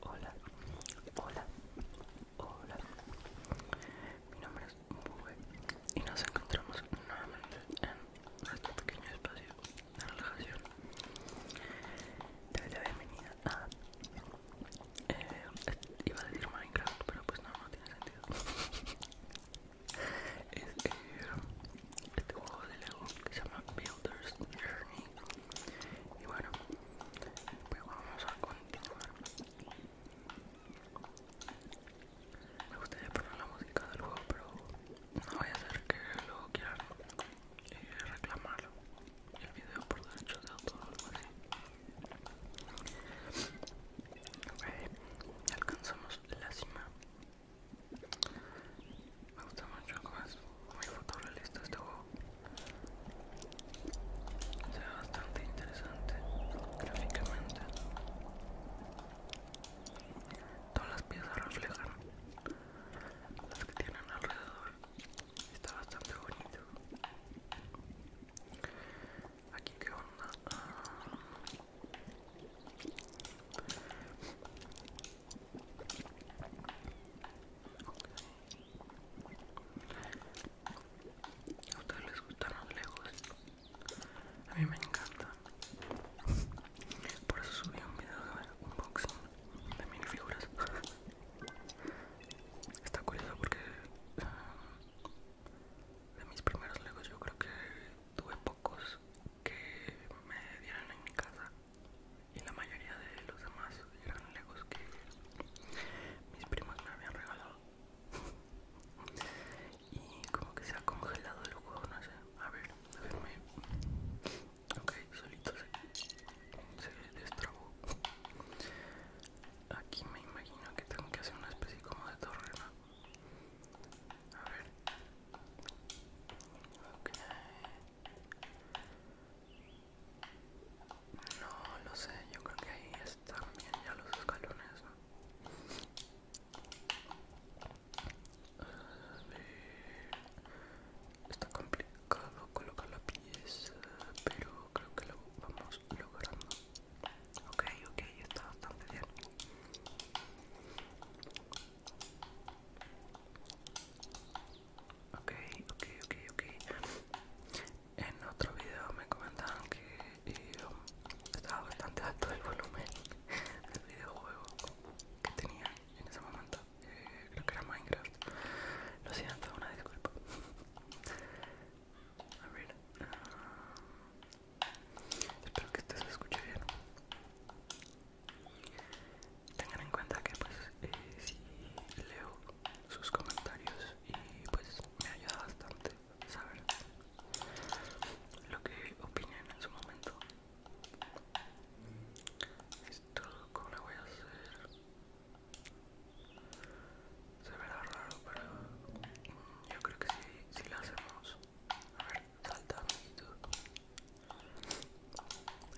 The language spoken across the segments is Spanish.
Hola, hola, hola. Mi nombre es Bube y nos encontramos nuevamente en este pequeño espacio de relajación. Te doy la bienvenida a. Eh, iba a decir Minecraft, pero pues no, no tiene sentido. es eh, este juego de Lego que se llama Builders Journey y bueno pues vamos a continuar me gustaría poner la música del juego pero no voy a hacer que luego quieran eh, reclamar el video por derecho de autor o algo así ok alcanzamos la cima me gusta mucho como es muy fotorrealista este juego. Se ve bastante interesante gráficamente. Todas las piezas reflejan las que tienen alrededor. Está bastante bonito. Aquí que onda. Ah. A ustedes les gustan los legos. A mí me encanta. Por eso subí un video de unboxing de figuras Está curioso porque eh, de mis primeros legos yo creo que tuve pocos que me dieron en mi casa y la mayoría de los demás eran legos que mis primos me habían regalado y como que se ha congelado el juego no sé a ver a verme ok solito se, se destrabó aquí me imagino que tengo que hacer una especie como de torre a ver ok no lo sé, yo creo que ahí están bien ya los escalones. Eh, está complicado colocar la pieza, pero creo que lo vamos logrando. Ok, ok, está bastante bien. Ok, ok, ok, ok. En otro video me comentaban que eh, estaba bastante alto el volumen del videojuego que tenía en ese momento. Eh, creo que era Minecraft. Lo siento, una disculpa. A ver. Ah, espero que este se escuche bien. Tengan en cuenta que pues eh, si leo sus comentarios y pues me ayuda bastante saber lo que opinan en su momento. Esto como lo voy a hacer se verá raro pero yo creo que si sí, lo hacemos saltar amiguito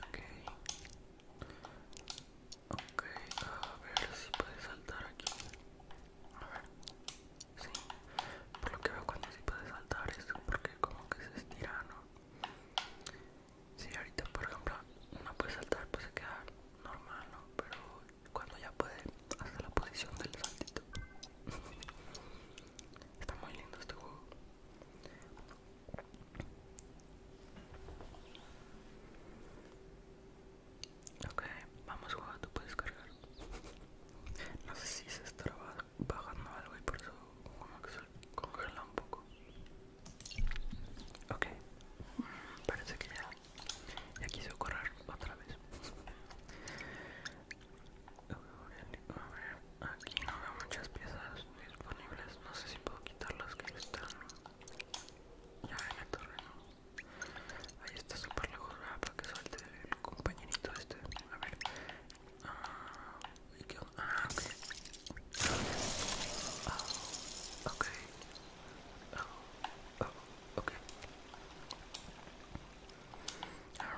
ok ok a ver si puede saltar aquí a ver sí por lo que veo cuando si puede saltar es porque como que se estira no si ahorita por ejemplo no puede saltar pues se queda normal no pero cuando ya puede hasta la posición del saltito Está muy lindo este juego. Ok, vamos a jugar, tú puedes cargar. No sé si se estará bajando algo y por eso como que se congela un poco. Ok, mm, parece que ya, ya quiso correr otra vez. Aquí no veo muchas piezas disponibles. No sé si puedo quitar las que están ya en el torre Ahí está súper lejos para que suelte el compañerito este. A ver. Ah, ¿y qué Ah, ok. Ahora ah,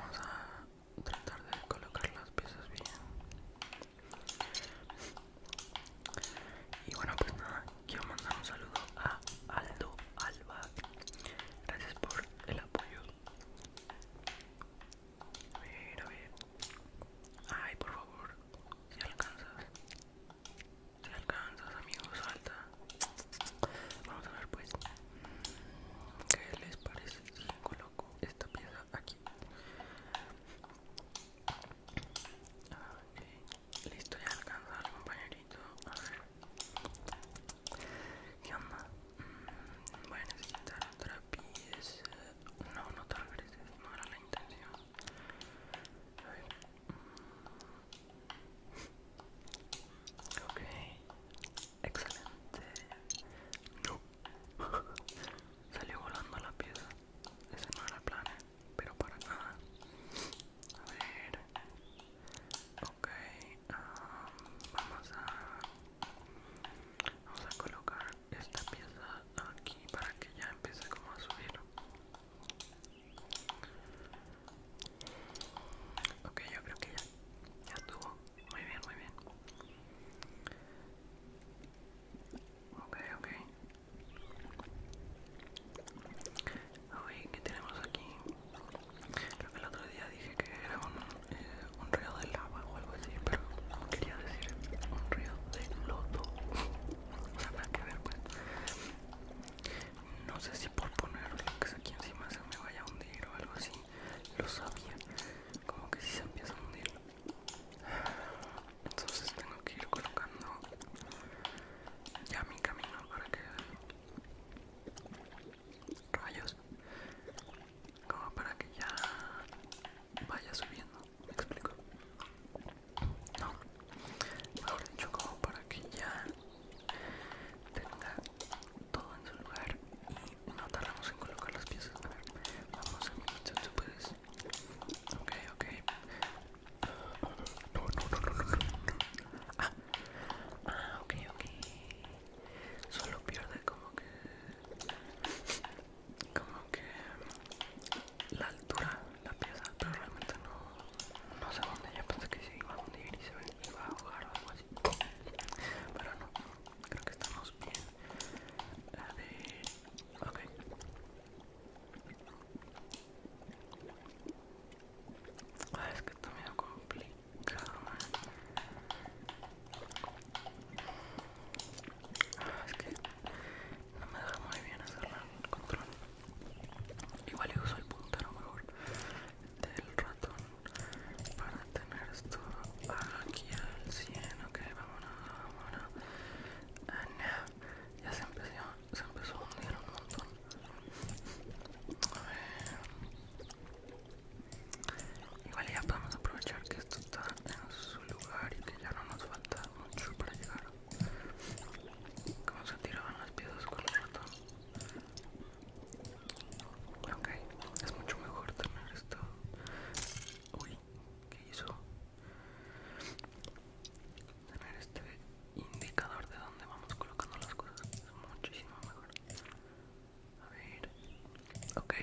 vamos a tratar de colocar las piezas bien y bueno pues nada quiero mandar un saludo a Aldo Alba gracias por el apoyo a ver eh, ay por favor si alcanzas si alcanzas amigos salta Vamos a ver pues ¿Qué les parece si coloco esta pieza aquí? Listo, ya alcanzado al compañerito A ver ¿Qué onda? Mm, voy a necesitar otra pieza No, no te regreses, no era la intención A ver Ok Excelente. No. Salió volando la pieza. Ese no era el plan, ¿eh? pero para nada. A ver. Ok. Um, vamos a... Vamos a colocar esta pieza aquí para que ya empiece como a subir. Ok, yo creo que ya, ya estuvo. Muy bien, muy bien. Ok, ok. Uy, ¿qué tenemos aquí? Creo que el otro día dije que era un, eh, río de lava o algo así, pero quería decir un río de loto, o sea, que ver, pues. No sé si por poner lo que es aquí encima se me vaya a hundir o algo así. Lo sabía. Como que si se empieza a hundir. Entonces tengo que ir colocando ya mi camino para que rayos como para que ya vaya subiendo me explico no mejor dicho como para que ya Tenga todo en su lugar y no tardamos en colocar las piezas. A ver, vamos a mi muchacho, puedes. Ok, ok. No, no, no, no, no, no. Ah. ah, ok, ok. Solo pierde como que. Como que la altura, la pieza, pero realmente no, no sé dónde, yo pensé que se iba a hundir y se iba a ahogar o algo así Pero no, creo que estamos bien La de... ok ah, es que está medio complicado, man. ¿eh? Ah, es que no me deja muy bien hacer el control. Igual yo uso el puntero mejor del ratón para tener esto aquí al 100. Ok, vamos vámonos. Ah, ya se empezó, se empezó a hundir un montón. A ver. Igual ya podemos aprovechar que esto está en su lugar y que ya no nos falta mucho para llegar. ¿Cómo se tiraban las piezas con el ratón? Ok, es mucho mejor tener esto. Uy, ¿qué hizo? Tener este indicador de dónde vamos colocando las cosas es muchísimo mejor. A ver, ok,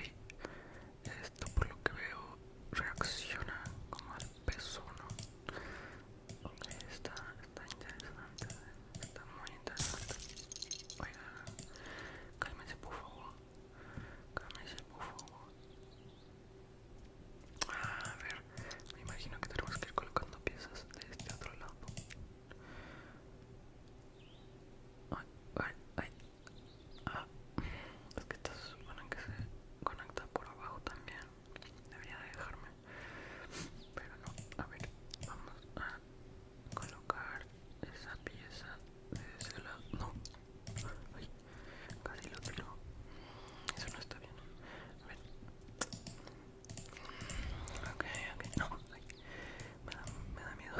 esto por lo que veo reacciona como al peso, ¿no? Está, está interesante, está muy interesante. Oiga, cálmese por favor, cálmese por favor. Ah, a ver, me imagino que tenemos que ir colocando piezas de este otro lado. Ay, ay, ay. Ah, es que estas van que se conectan por abajo también debería dejarme pero no a ver vamos a colocar esa pieza de ese lado no Ay, casi lo tiró. eso no está bien a ver ok ok no me, me da miedo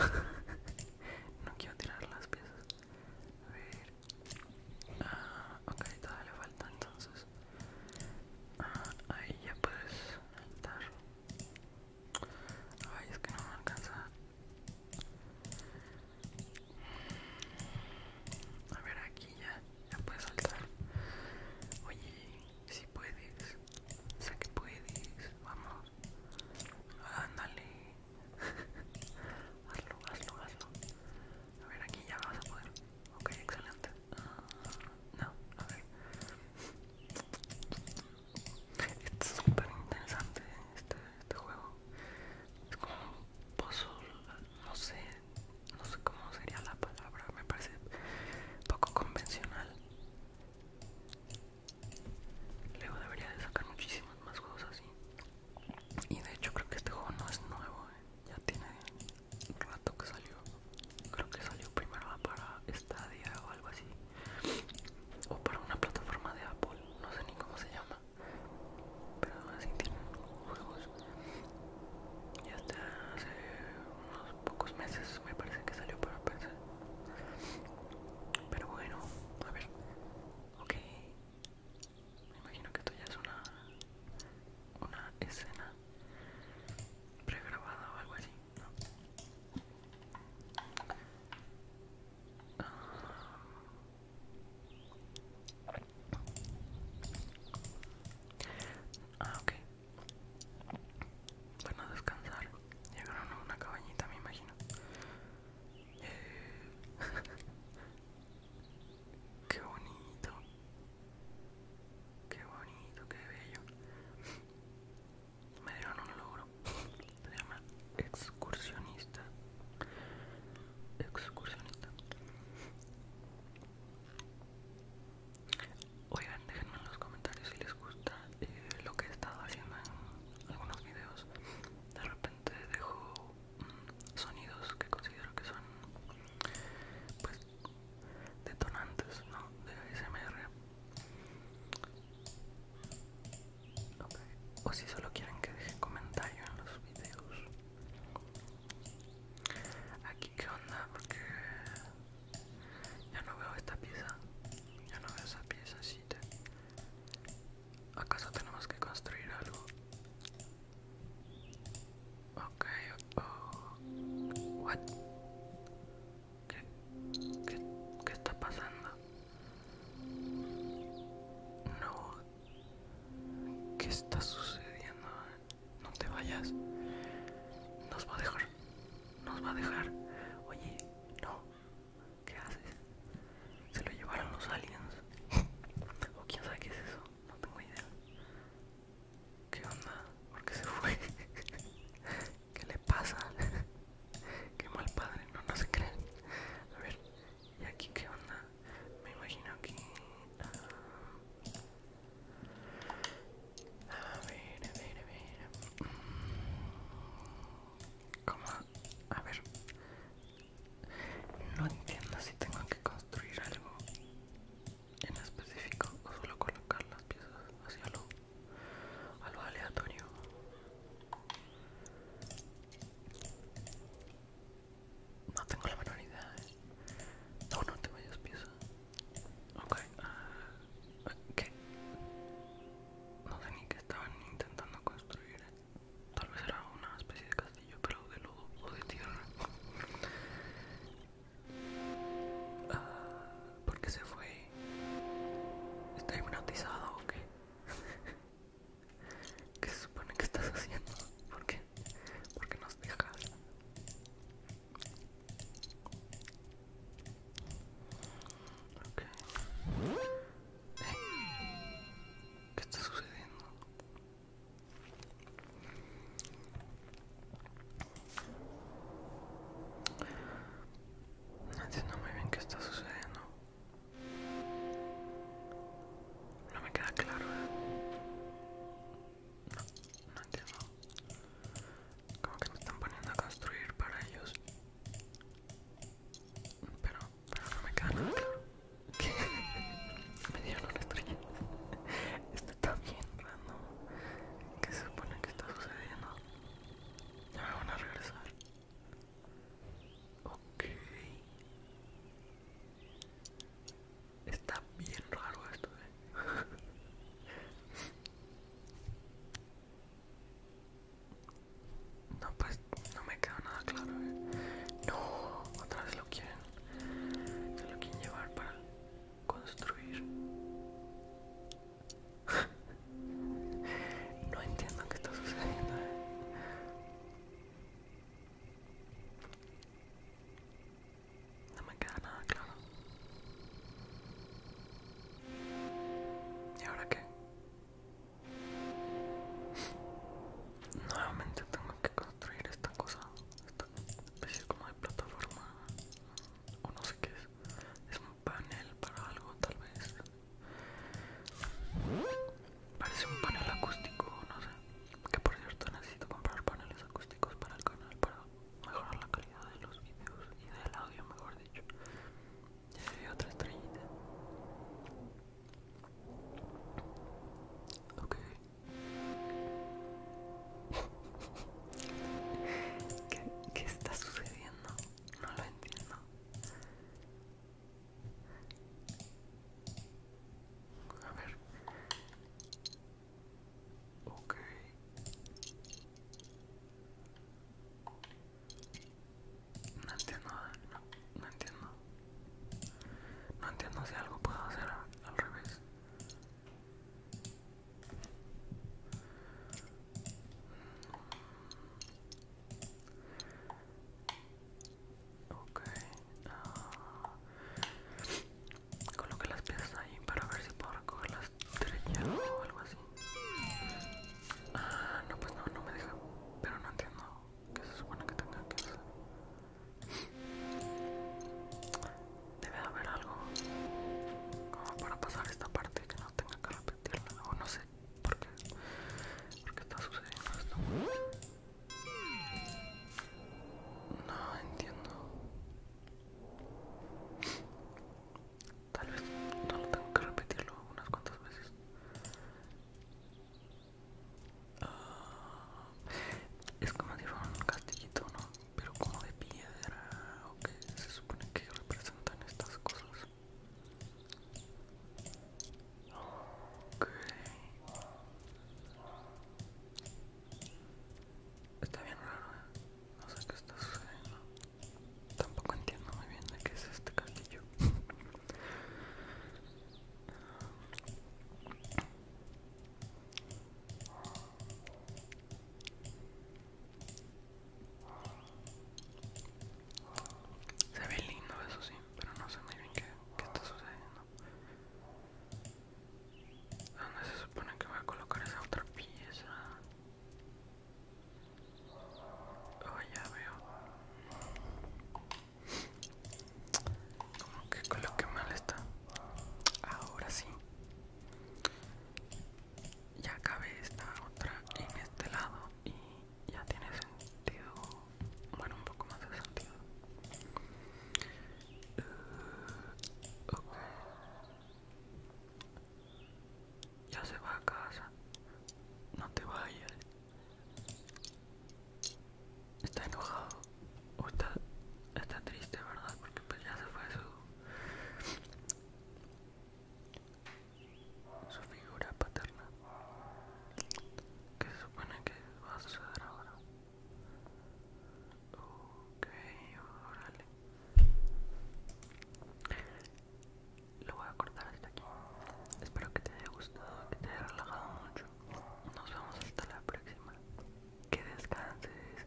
no quiero tirar las piezas a ver ah, ok, todavía le falta entonces. Ah, ahí ya puedes saltar. Ay, es que no me alcanza. A ver, aquí ya, ya puedes saltar. Oye, si puedes, sé que puedes, vamos. Ándale, hazlo, hazlo, hazlo. A ver, aquí ya vas a poder. Ok, excelente. Ah, no, a ver. Es súper interesante este, este juego. Es como un puzzle, no sé, no sé cómo sería la palabra, me parece poco convencional. Luego debería de sacar muchísimos más juegos así. Y de hecho creo que este juego no es nuevo, ¿eh? ya tiene rato que salió creo que salió primero para Stadia o algo así o para una plataforma de Apple no sé ni cómo se llama pero así tienen juegos y hasta hace unos pocos meses me parece que salió para PC pero bueno a ver ok me imagino que esto ya es una, una escena pregrabada o algo así, ¿no? Ah, ah ok. bueno a descansar. Llegaron a una cabañita, me imagino. Eh, Qué bonito. Qué bonito, qué bello. Me dieron un logro. Se llama excursionista. Excursionista. Oigan, déjenme en los comentarios si les gusta eh, lo que he estado haciendo en algunos videos. De repente dejo sonidos que considero que son pues detonantes ¿no? de ASMR o si solo quieren que dejen comentario en los videos aquí qué onda porque ya no veo esta pieza ya no veo esa pieza ¿Acaso tenemos que construir algo? Ok, What? ¿Qué, ¿Qué está pasando? No. ¿Qué está sucediendo? No te vayas. Nos va a dejar. Nos va a dejar. Oye, no. ¿Qué haces? Se lo llevaron los aliens. O quién sabe qué es eso. No tengo idea. ¿Qué onda? ¿Por qué se fue? ¿Qué le pasa? Qué mal padre, no, no se creen. A ver, ¿y aquí qué onda? Me imagino que... Ah, a ver, a ver, a ver. ¿Cómo? A ver, no entiendo si tengo que construir algo en específico o solo colocar las piezas hacia lo, a lo aleatorio. No tengo la menor idea. ¿eh? No, no te vayas piezas. Ok. ¿Qué? Ah, no sé ni que estaban intentando construir. ¿eh? Tal vez era una especie de castillo, pero de lodo o de tierra. Ah, ¿Por qué se fue? ¿Está hipnotizado o qué? ¿Qué se supone que estás haciendo? ¿Por qué? ¿Por qué nos dejas? ¿Qué está sucediendo? No entiendo muy bien qué está sucediendo. No me queda claro. ¿eh? No, no entiendo. Como que me están poniendo a construir para ellos. Pero, pero no me queda Me dieron una estrella. Esto está bien raro ¿Qué se supone que está sucediendo? Ya me van a regresar. Ok. Está bien raro esto, eh. No, pues no me queda nada claro, ¿eh? No, otra vez lo quieren. lo quieren llevar para construir. no entiendo qué está sucediendo, ¿eh? No me queda nada claro. ¿Y ahora qué? Nuevamente tengo que construir esta cosa, esta especie como de plataforma o no sé qué es. Es un panel para algo tal vez. Parece un panel acústico, no sé. Que por cierto necesito comprar paneles acústicos para el canal para mejorar la calidad de los vídeos y del audio mejor dicho ya otra estrellita. Ok. ¿Qué, ¿Qué está sucediendo? No lo entiendo. A ver. Okay. No entiendo, no, entiendo. No entiendo si algo puedo hacer al revés. Ok. Ah. coloque las piezas ahí para ver si puedo recoger las estrellas o algo así. Ah, no, pues no, no me deja. Pero no entiendo qué se supone que tenga que hacer. Debe haber algo como para pasar esta parte que no tenga que repetirla. O no sé por qué, por qué está sucediendo esto. No entiendo. Tal vez no lo tengo que repetirlo unas cuantas veces. Ah, es como si fuera un castillito, ¿no? Pero como de piedra o que se supone que representan estas cosas. Está bien raro, ¿eh? No sé qué está sucediendo. Tampoco entiendo muy bien de qué es este cabello. Se ve lindo, eso sí, pero no sé muy bien qué, qué está sucediendo. ¿Dónde se supone que voy a colocar esa otra pieza? Oh, ya veo. Como que que mal está. Ahora sí. Ya cabe esta otra en este lado y ya tiene sentido. Bueno, un poco más de sentido. Eh, ya se va a casa. No te vayas. Está enojado. O está, está triste, ¿verdad? Porque pues ya se fue su... Su figura paterna. ¿Qué se supone que va a suceder ahora. Ok, órale lo voy a cortar hasta aquí. Espero que te haya gustado, que te haya relajado mucho. Nos vemos hasta la próxima. Que descanses.